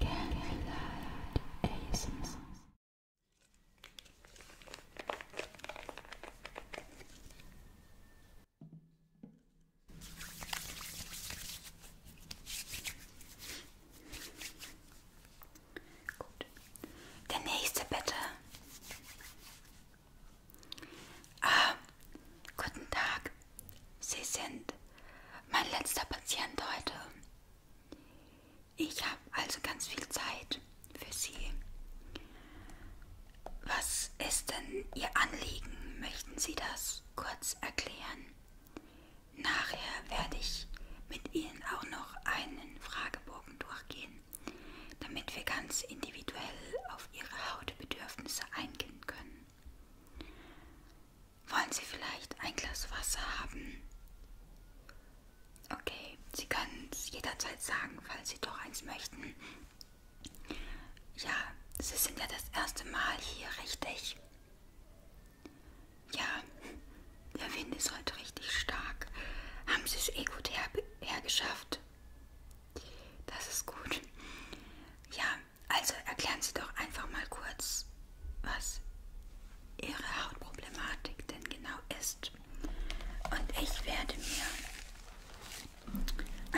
Gut. Der nächste bitte. Ah, guten Tag. Sie sind mein letzter Patient heute. Ich habe also ganz viel Zeit für Sie. Was ist denn Ihr Anliegen? Möchten Sie das kurz erklären? Nachher werde ich mit Ihnen auch noch einen Fragebogen durchgehen, damit wir ganz individuell auf Ihre Hautbedürfnisse eingehen können. Wollen Sie vielleicht ein Glas Wasser haben? Okay, Sie können es jederzeit sagen, falls Sie doch eins möchten. Ja, Sie sind ja das erste Mal hier, richtig? Ja, der Wind ist heute richtig stark. Haben Sie es eh gut her hergeschafft? Das ist gut. Ja, also erklären Sie doch einfach mal kurz, was Ihre Hautproblematik denn genau ist. Und ich werde mir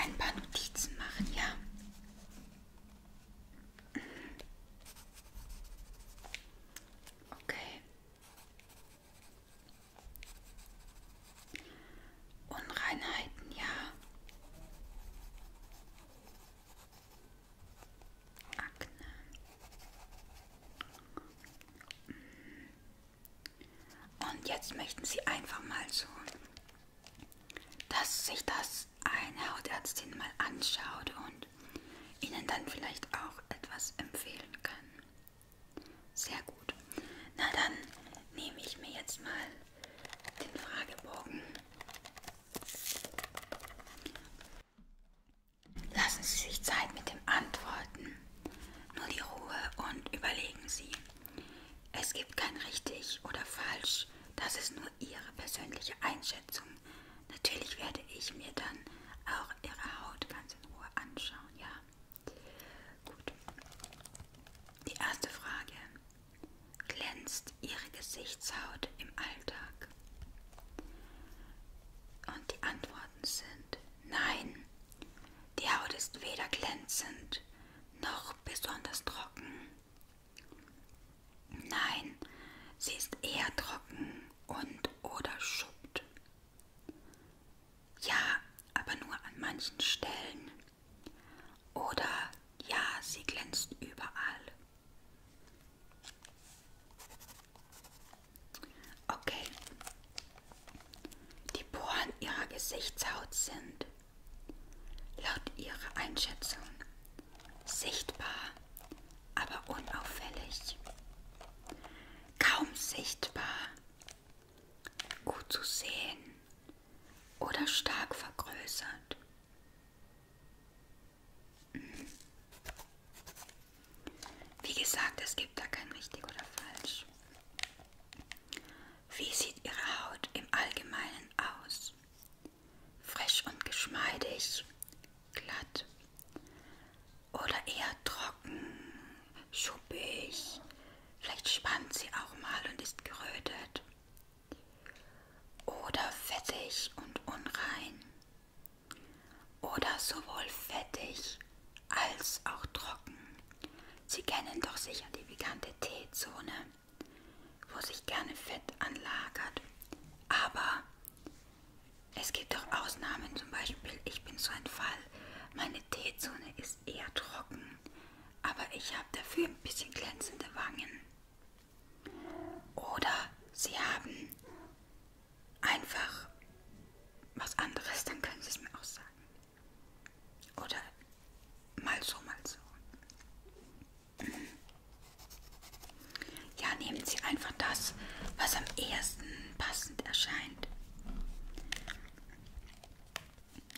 ein paar Notizen machen, ja. Okay. Unreinheiten, ja. Akne. Und jetzt möchten Sie einfach mal so, dass sich das eine Hautärztin mal anschaut und Ihnen dann vielleicht auch etwas empfehlen kann. Sehr gut. Na dann nehme ich mir jetzt mal den Fragebogen Lassen Sie sich Zeit mit dem Antworten. Nur die Ruhe und überlegen Sie. Es gibt kein richtig oder falsch. Das ist nur Ihre persönliche Einschätzung. Natürlich werde ich mir dann auch Ihre Haut ganz in Ruhe anschauen, ja. Gut. Die erste Frage glänzt ihre Gesichtshaut im Alltag? Und die Antworten sind nein. Die Haut ist weder glänzend noch besonders trocken. Nein, sie ist eher trocken und oder schuppt. Ja, aber nur an manchen Stellen. Oder ja, sie glänzt überall. Okay. Die Poren ihrer Gesichtshaut sind laut ihrer Einschätzung sichtbar, aber unauffällig. Kaum sichtbar, gut zu sehen oder stark vergrößert. Wie gesagt, es gibt da kein richtig oder falsch. Wie sieht Ihre Haut im Allgemeinen aus? Frisch und geschmeidig, glatt oder eher trocken, schuppig. Vielleicht spannt sie auch mal und ist gerötet oder fettig und unrein oder sowohl fettig als auch trocken. Sie kennen doch sicher die bekannte Teezone, wo sich gerne Fett anlagert. Aber es gibt auch Ausnahmen, zum Beispiel ich bin so ein Fall, meine Teezone ist eher trocken, aber ich habe dafür ein bisschen glänzende Wangen. Oder Sie haben einfach was anderes, dann können Sie es mir auch sagen. Oder mal so, mal so. Ja, nehmen Sie einfach das, was am ehesten passend erscheint.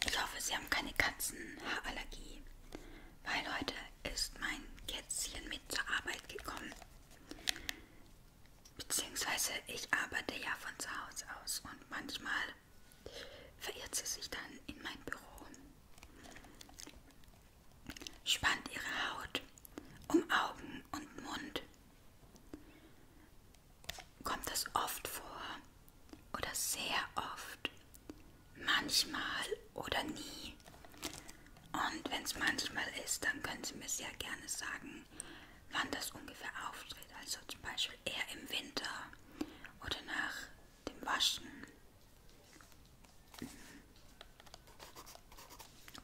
Ich hoffe, Sie haben keine Katzenhaarallergie, weil heute ist mein Kätzchen mit zur Arbeit gekommen. Beziehungsweise ich arbeite ja von zu Hause aus und manchmal verirrt sie sich dann in mein Büro. Spannt ihre Haut um Augen und Mund. Kommt das oft vor oder sehr oft, manchmal oder nie. Und wenn es manchmal ist, dann können Sie mir sehr gerne sagen, wann das ungefähr auftritt. Also zum Beispiel eher im Winter oder nach dem Waschen.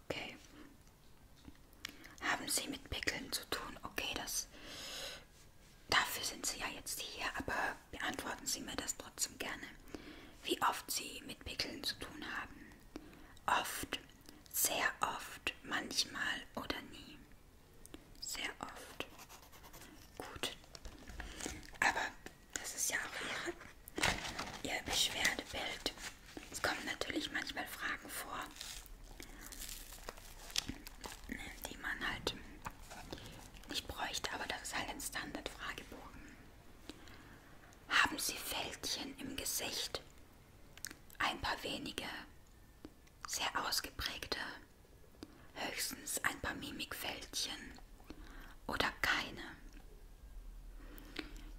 Okay. Haben Sie mit Pickeln zu tun? Okay, das. Dafür sind Sie ja jetzt hier, aber beantworten Sie mir das trotzdem gerne, wie oft Sie mit Pickeln zu tun haben. Oft, sehr oft, manchmal oder nie. Sehr oft. Gut. Aber das ist ja auch Ihre Ihr Beschwerdebild. Es kommen natürlich manchmal Fragen vor, die man halt ich bräuchte aber, das ist halt ein Standardfragebogen. Haben Sie Fältchen im Gesicht? Ein paar wenige, sehr ausgeprägte, höchstens ein paar Mimikfältchen oder keine.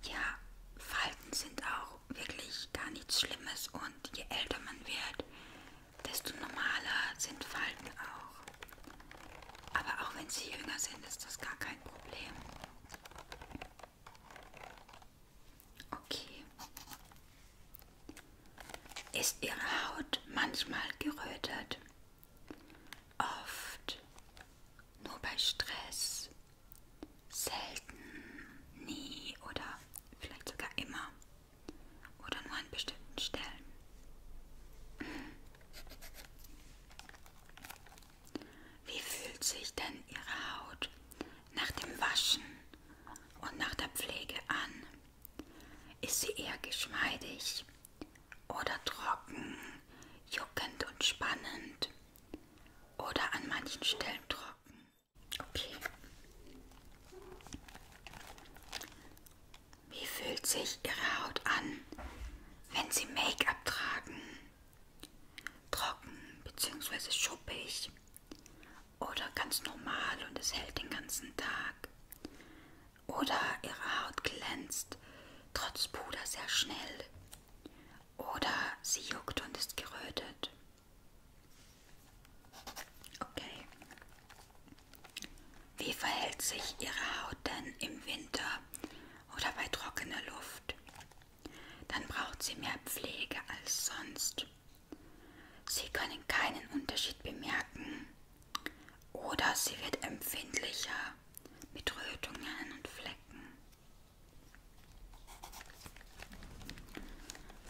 Ja, Falten sind auch wirklich gar nichts Schlimmes und je älter man wird, desto normaler sind Falten auch. Aber auch wenn sie jünger sind, ist das gar kein Problem. Okay. Ist Ihre Haut manchmal gerötet? Oft. Nur bei Stress. Selten. Nie. Oder vielleicht sogar immer. Oder nur an bestimmten Stellen. Wie fühlt sich denn Ihre Haut nach dem Waschen und nach der Pflege an? Ist sie eher geschmeidig oder trocken, juckend und spannend oder an manchen Stellen trocken? Okay. Wie fühlt sich Ihre Haut an, wenn Sie Make-up tragen? Trocken bzw. schuppig oder ganz normal und es hält den ganzen Tag? Oder Ihre Haut glänzt trotz Puder sehr schnell? Oder sie juckt und ist gerötet? Okay. Wie verhält sich Ihre Haut denn im Winter oder bei trockener Luft? Dann braucht sie mehr Pflege als sonst. Sie können keinen Unterschied bemerken oder sie wird empfindlicher mit Rötungen und Flecken.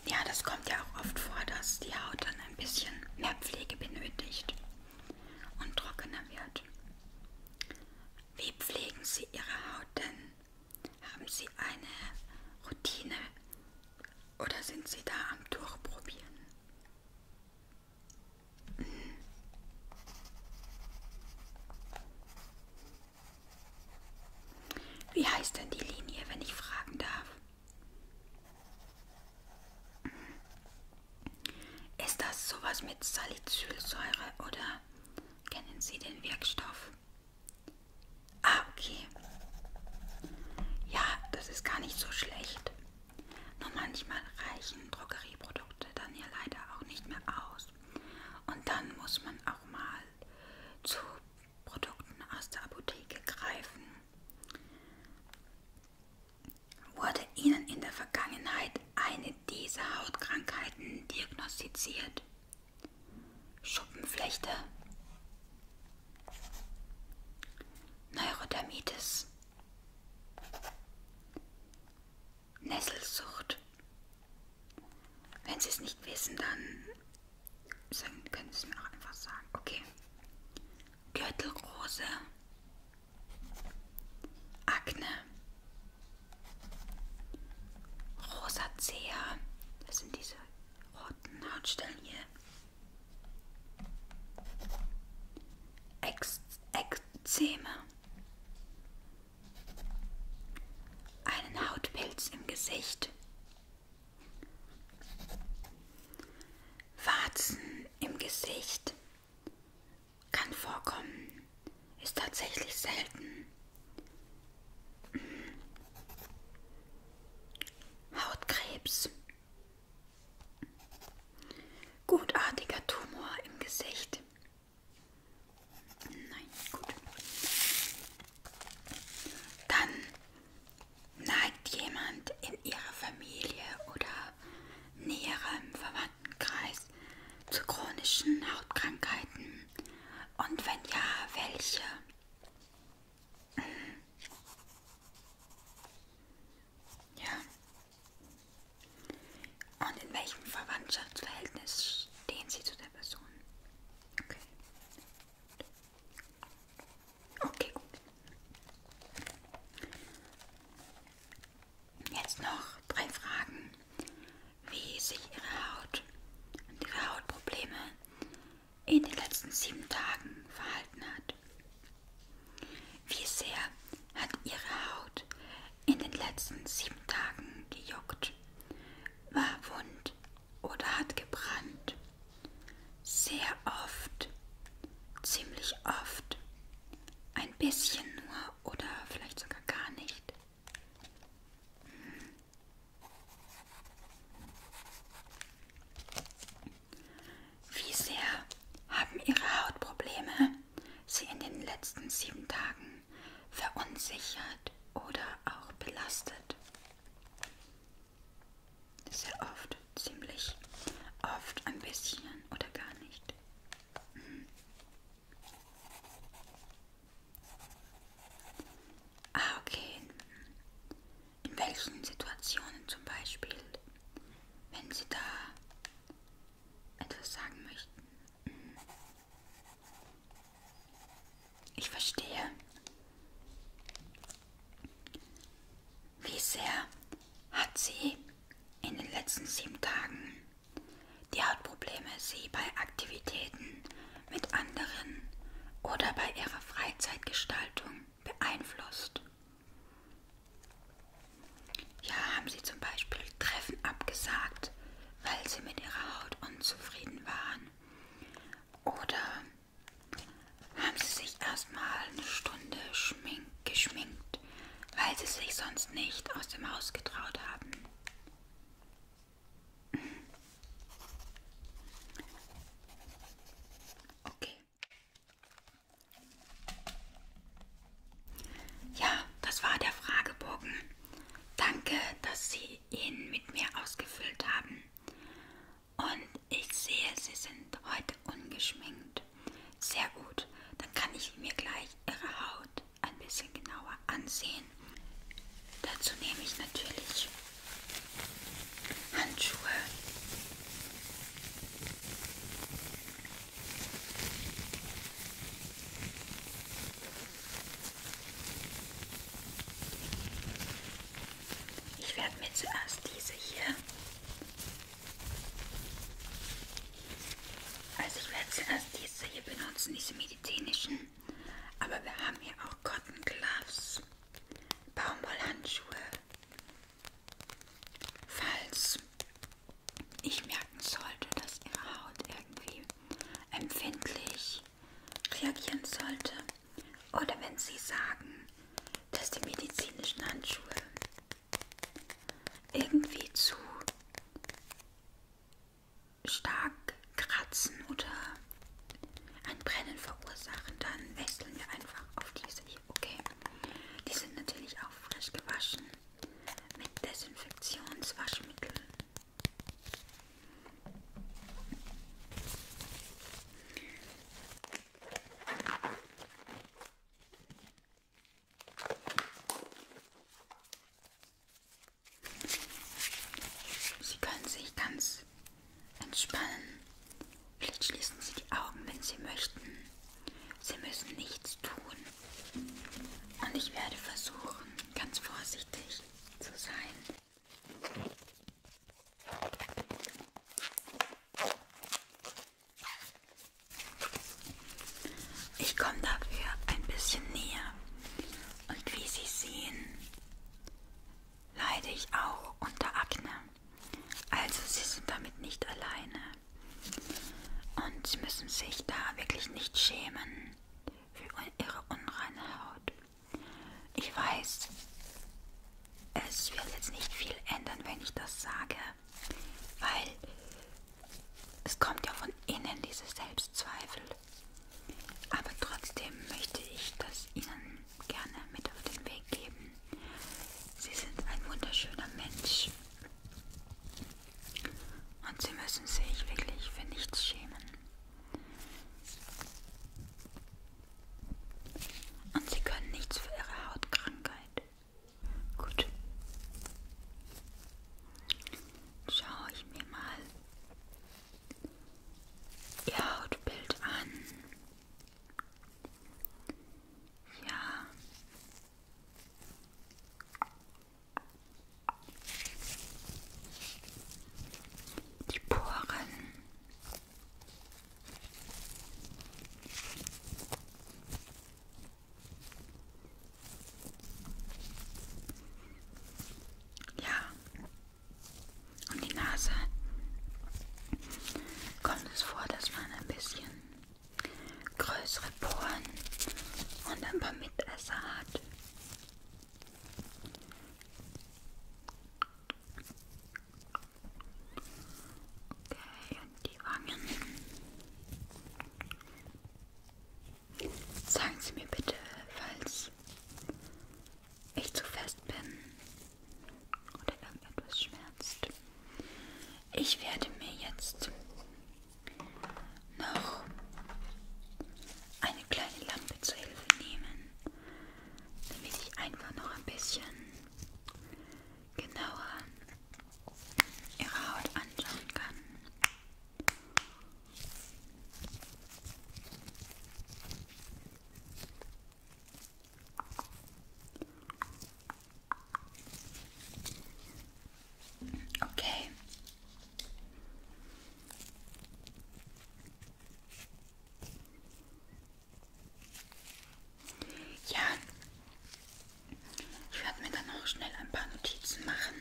Ja, das kommt ja auch oft vor, dass die Haut dann ein bisschen mehr Pflege benötigt und trockener wird. Wie pflegen Sie Ihre Haut denn? Haben Sie eine Routine oder sind Sie da am Durchprobieren? Hm. Wie heißt denn die Linie, wenn ich fragen darf? Ist das sowas mit Salicylsäure oder kennen Sie den Wirkstoff? Ah, okay. Ja, das ist gar nicht so schlecht. Nur manchmal reichen Drogerieprodukte dann ja leider auch nicht mehr aus. Und dann muss man auch mal zu Produkten aus der Apotheke greifen wurde ihnen in der Vergangenheit eine dieser Hautkrankheiten diagnostiziert. Schuppenflechte, Neurodermitis, Nesselsucht. Wenn Sie es nicht wissen, dann können Sie es mir auch einfach sagen. Okay. Gürtelrose, Akne, Rosacea, das sind diese roten Hautstellen hier. Ex Ekzeme, einen Hautpilz im Gesicht, Warzen im Gesicht. Kann vorkommen, ist tatsächlich selten. Hm. Hautkrebs. Gutartiger Tumor im Gesicht. Nein, gut. Dann neigt jemand in ihrer Familie oder näherem Verwandtenkreis zu chronischen Hautkrankheiten? Und wenn ja, welche? Ja. Und in welchem Verwandtschaftsverhältnis stehen Sie zu der Person? Okay. Okay, gut. Jetzt noch drei Fragen. Wie sich Ihre Haut und Ihre Hautprobleme in den letzten sieben Tagen verhalten hat. Wie sehr hat Ihre Haut in den letzten sieben Tagen gejuckt? War wund oder hat gebrannt? Sehr oft, ziemlich oft, ein bisschen nur oder vielleicht sogar gar nicht. Hm. Wie sehr haben Ihre Hautprobleme Sie in den letzten sieben Tagen verunsichert oder auch belastet? Sehr oft, ziemlich oft, ein bisschen oder gar nicht. Mhm. Ah, okay. In welchen Situationen zum Beispiel, wenn Sie da etwas sagen möchten? Mhm. Ich verstehe. Wie sehr hat sie in den letzten sieben Tagen die Hautprobleme Sie bei Aktivitäten mit anderen oder bei Ihrer Freizeitgestaltung beeinflusst. Ja, haben Sie zum Beispiel Treffen abgesagt, weil Sie mit Ihrer Haut unzufrieden waren. Oder haben sie sich erstmal eine Stunde geschminkt, weil sie sich sonst nicht aus dem Haus getraut haben. Okay. Ja, das war der Fragebogen. Danke, dass Sie ihn mit mir ausgefüllt haben. Und ich sehe, Sie sind heute ungeschminkt. Sehr gut. Dann kann ich mir gleich Ihre Haut ein bisschen genauer ansehen. Dazu nehme ich natürlich Handschuhe. Ich werde mir zuerst diese hier also ich werde zuerst diese hier benutzen, diese medizinischen. Aber wir haben hier auch Cotton Gloves, Baumwollhandschuhe. Falls ich merken sollte, dass Ihre Haut irgendwie empfindlich reagieren sollte. Oder wenn Sie sagen, dass die medizinischen Handschuhe irgendwie zu stark kratzen oder ein Brennen verursachen, dann wechseln wir einfach auf diese hier. Okay, die sind natürlich auch frisch gewaschen mit Desinfektionswaschmittel. Sie können sich ganz entspannen. Vielleicht schließen Sie die Augen, wenn Sie möchten. Sie müssen nichts tun. Und ich werde versuchen, ganz vorsichtig zu sein. Ich komme dafür ein bisschen näher. Und wie Sie sehen, leide ich auch unter Akne. Also Sie sind damit nicht alleine. Und Sie müssen sich da wirklich nicht schämen für Ihre unreine Haut. Ich weiß, es wird jetzt nicht viel ändern, wenn ich das sage, weil es kommt ja von innen, diese Selbstzweifel. Aber trotzdem möchte ich das Ihnen gerne mit auf den Weg geben. Sie sind ein wunderschöner Mensch. Und Sie müssen sich wirklich für nichts schämen. Und Sie können nichts für Ihre Hautkrankheit. Gut. Schaue ich mir mal Ihr Hautbild an. Ja. Die Poren. Ja. Und die Nase. Kommt es vor, dass man ein bisschen größere Poren und ein paar Mitesser hat? Okay, und die Wangen. Sagen Sie mir bitte, falls ich zu fest bin oder irgendetwas schmerzt. Ich werde mir jetzt noch eine kleine Lampe zur Hilfe nehmen, damit ich einfach noch ein bisschen genauer ihre Haut anschauen kann. Okay. Ja, ich werde mir dann auch schnell ein paar Notizen machen,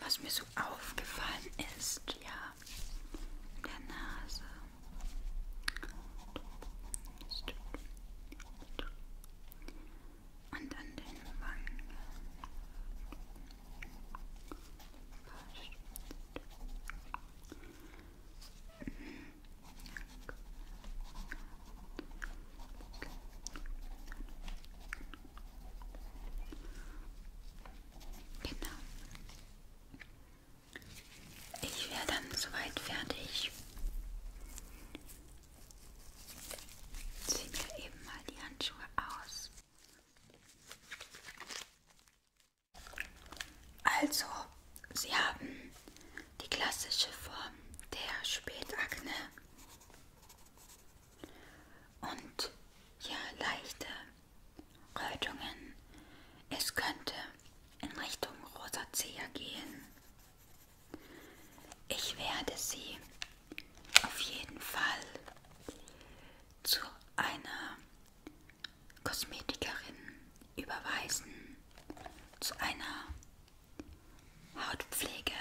was mir so aufgefallen ist, ja, in der Nase. Und an den Wangen. Genau. Ich wäre dann soweit fertig. Zieh mir eben mal die Handschuhe aus. Also, Sie haben die klassische Form der Spätakne und ja leichte Rötungen. Es könnte in Richtung Rosacea gehen. Ich werde sie auf jeden Fall zu einer Kosmetikerin überweisen zu einer Hautpflege.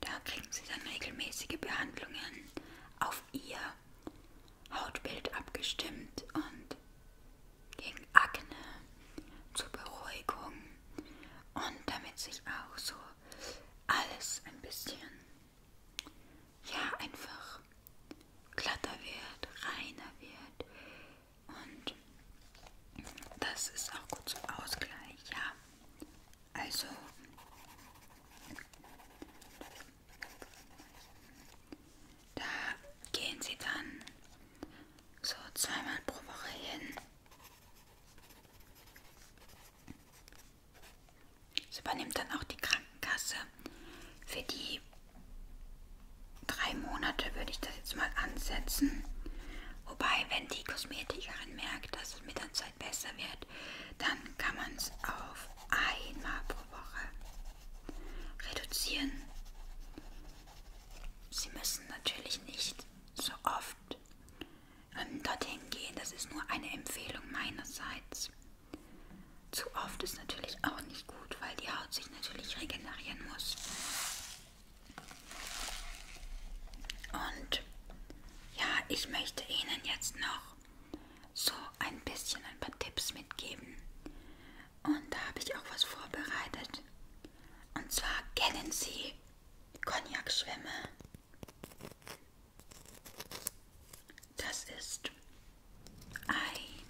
Da kriegen sie dann regelmäßige Behandlungen auf ihr Hautbild abgestimmt und gegen Akne zur Beruhigung und damit sich auch so alles ein bisschen ja einfach glatter wird, reiner wird, und das ist auch gut zum Ausgleich, ja. Also da gehen sie dann so zweimal pro Woche hin. Sie übernimmt dann auch die Krankenkasse für die drei Monate würde ich das jetzt mal ansetzen. Wobei, wenn die Kosmetikerin merkt, dass es mit der Zeit besser wird, dann kann man es auf einmal pro Woche reduzieren. Sie müssen natürlich nicht so oft ähm, dorthin gehen. Das ist nur eine Empfehlung meinerseits. Zu oft ist natürlich auch nicht gut, weil die Haut sich natürlich regenerieren muss. Und ja, ich möchte Ihnen jetzt noch so ein bisschen ein paar Tipps mitgeben. Und da habe ich auch was vorbereitet. Und zwar kennen Sie Cognac-Schwämme. Das ist ein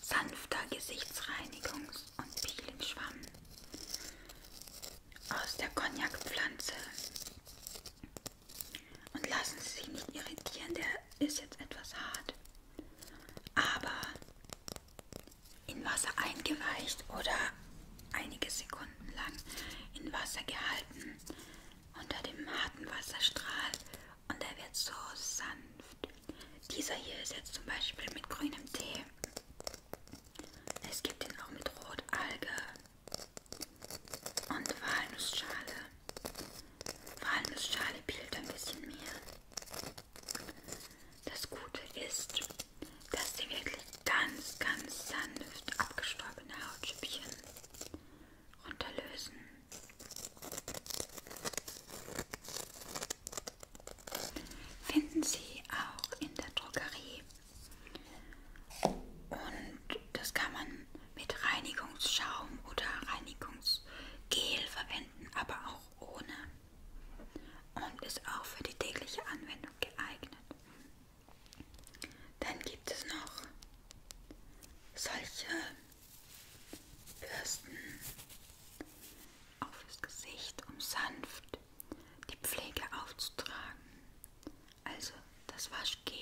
sanfter Gesichtsreinigungs- und Peeling-Schwamm aus der Cognac-Pflanze. Und lassen Sie sich nicht irritieren, der ist jetzt etwas hart. Aber in Wasser eingeweicht oder einige Sekunden lang in Wasser gehalten unter dem harten Wasserstrahl und er wird so sanft dieser hier ist jetzt zum Beispiel mit grünem Tee. Es gibt ihn auch mit Rotalge und Walnussschale. Walnussschale pielt ein bisschen mehr. Das Gute ist, dass sie wirklich ganz, ganz sanft abgestorbene Hautschüppchen runterlösen. Finden Sie auch in der Drogerie. Und das kann man mit Reinigungsschaum oder Reinigungsgel verwenden, aber auch ohne. Und ist auch für die tägliche Anwendung geeignet. Dann gibt es noch solche Bürsten auf das Gesicht, um sanft die Pflege aufzutragen. Also das Waschgel.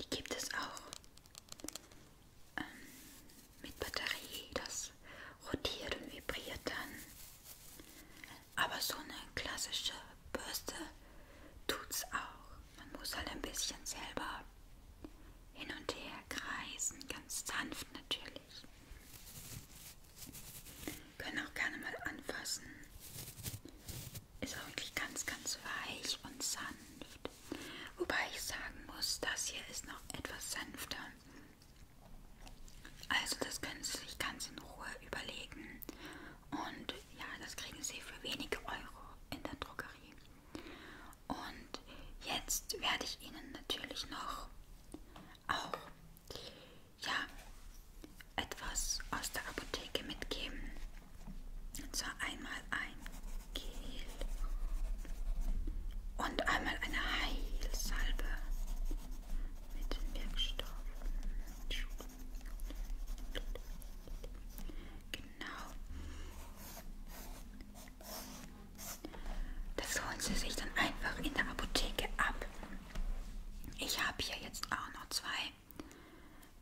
Die gibt es auch ähm, mit Batterie, das rotiert und vibriert dann. Aber so eine klassische Bürste tut's auch. Man muss halt ein bisschen selber hin und her kreisen, ganz sanft natürlich. Können auch gerne mal anfassen. Ist auch wirklich ganz, ganz weich und sanft. Wobei ich sagen muss, das hier ist noch etwas sanfter. Also das können Sie sich ganz in Ruhe überlegen, und ja, das kriegen sie für wenige Euro in der Drogerie. Und jetzt werde ich Ihnen natürlich noch auch ja, etwas aus der Apotheke mitgeben. Und zwar einmal ein Gel und einmal eine Heilsalbe mit den Wirkstoffen. Genau. Das holen Sie sich dann einfach in der Apotheke ab. Ich habe hier jetzt auch noch zwei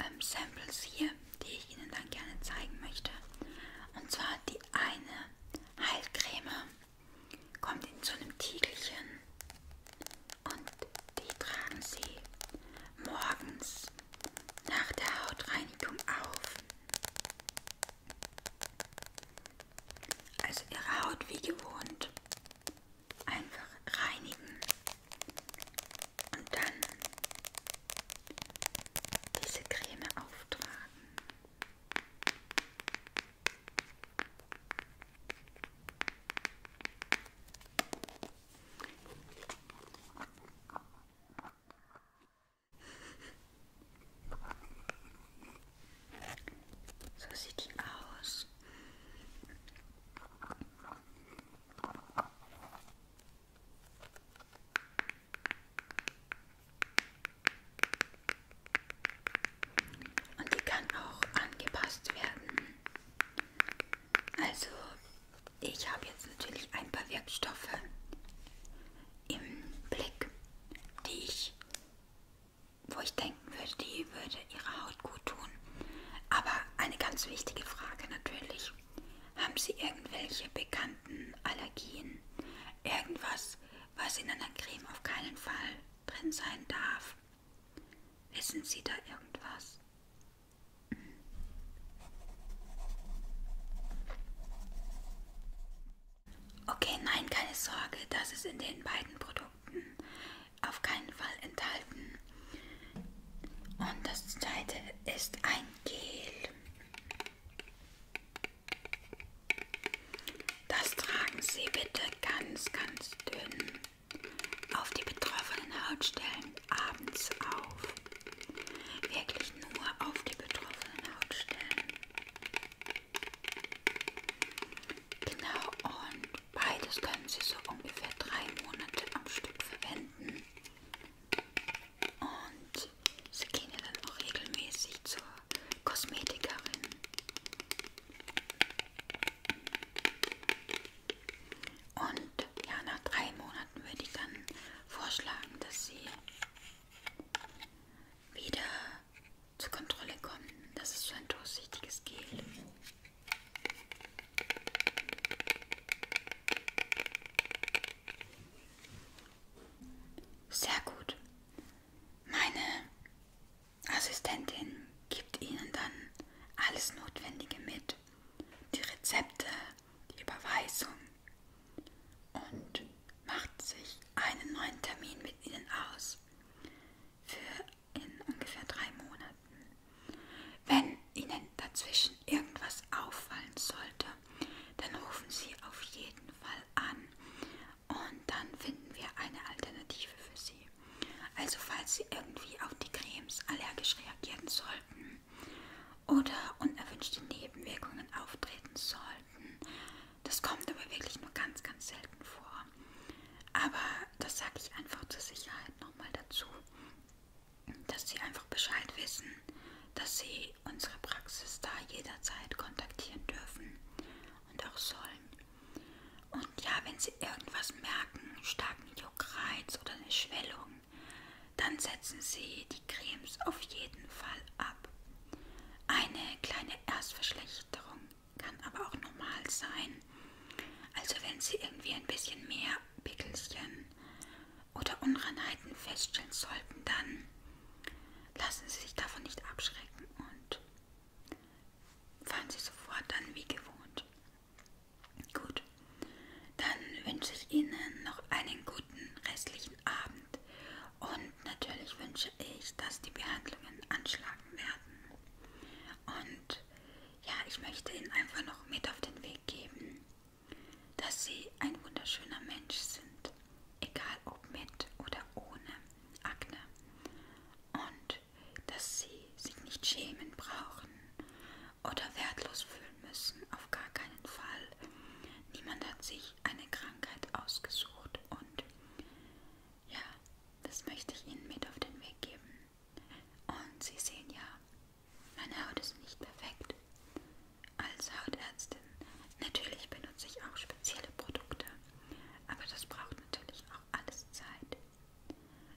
ähm, Samples hier, die ich Ihnen dann gerne zeigen möchte. Und zwar die eine Heilcreme kommt in so einem Tiegelchen. Und die tragen Sie morgens nach der Hautreinigung auf. Also Ihre Haut wie gewohnt einfach reinigen und dann diese Creme auftragen. So sieht die aus. Und die kann auch angepasst werden. Also, ich habe jetzt natürlich ein paar Wirkstoffe im Blick, die ich, wo ich denken würde, die würde ihrer Haut gut tun. Aber eine ganz wichtige Frage natürlich. Haben Sie irgendwelche bekannten Allergien? Irgendwas, was in einer Creme auf keinen Fall drin sein darf? Wissen Sie da irgendwas? Okay, nein, keine Sorge, das ist in den beiden Produkten auf keinen Fall enthalten. Und das zweite ist ein Gel. Das tragen Sie bitte ganz, ganz dünn auf die betroffenen Hautstellen abends auf. Wirklich nur auf die betroffenen Hautstellen. Genau, und beides können Sie so ungefähr drei Monate am Stück verwenden. Und Sie gehen ja dann auch regelmäßig zur Kosmetikerin. Und ja, nach drei Monaten würde ich dann vorschlagen, dass sie wieder zur Kontrolle kommen. Das ist so ein durchsichtiges Gel. Sehr gut. Meine Assistentin gibt Ihnen dann alles Notwendige mit. Die Rezepte, die Überweisung und macht sich einen neuen Termin mit Ihnen aus für in ungefähr drei Monaten. Wenn Ihnen dazwischen irgendwas auffallen sollte, dann rufen Sie auf jeden Fall an und dann finden wir eine Alternative für Sie. Also falls Sie irgendwie auf die Cremes allergisch reagieren sollten oder unerwünschte Nebenwirkungen auftreten sollten, das kommt aber wirklich nur ganz, ganz selten vor. Aber das sage ich einfach zur Sicherheit nochmal dazu, dass Sie einfach Bescheid wissen, dass Sie unsere Praxis da jederzeit kontaktieren dürfen und auch sollen und ja, wenn Sie irgendwas merken, starken Juckreiz oder eine Schwellung, dann setzen Sie die Cremes auf jeden Fall ab. Eine kleine Erstverschlechterung kann aber auch normal sein. Also wenn Sie irgendwie ein bisschen mehr Pickelchen oder Unreinheiten feststellen sollten, dann lassen Sie sich davon nicht abschrecken und fahren Sie sofort dann wie gewohnt. Gut, dann wünsche ich Ihnen noch einen guten restlichen Abend und natürlich wünsche ich, dass die Behandlungen anschlagen werden. Und ja, ich möchte Ihnen einfach noch mit auf den Weg geben, dass Sie ein wunderschöner Mensch sind, egal ob mit oder ohne Akne. Und dass sie sich nicht schämen brauchen oder wertlos fühlen müssen, auf gar keinen Fall. Niemand hat sich eine Krankheit ausgesucht und ja, das möchte ich Ihnen mit auf den Weg geben. Und Sie sehen ja, meine Haut ist nicht perfekt. Als Hautärztin natürlich benutze ich auch spezielle Produkte, aber das braucht natürlich auch alles Zeit.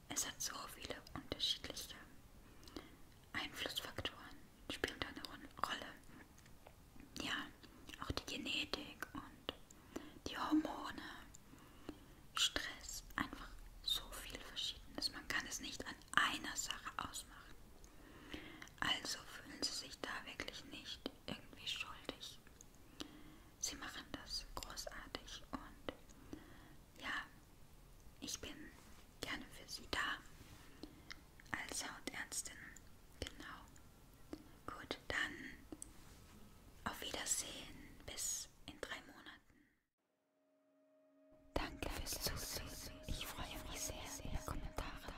Es hat so viele unterschiedliche Einflussfaktoren, spielen da eine Rolle. Ja, auch die Genetik und die Hormone, Stress, einfach so viel Verschiedenes. Man kann es nicht an einer Sache ausmachen. Also fühlen Sie sich da wirklich nicht irgendwie schuldig. Sie machen das großartig und ja, ich bin gerne für Sie da als Hautärztin. Genau. Gut, dann auf Wiedersehen. Bis in drei Monaten. Danke fürs Zusehen. Ich freue mich sehr über Kommentare.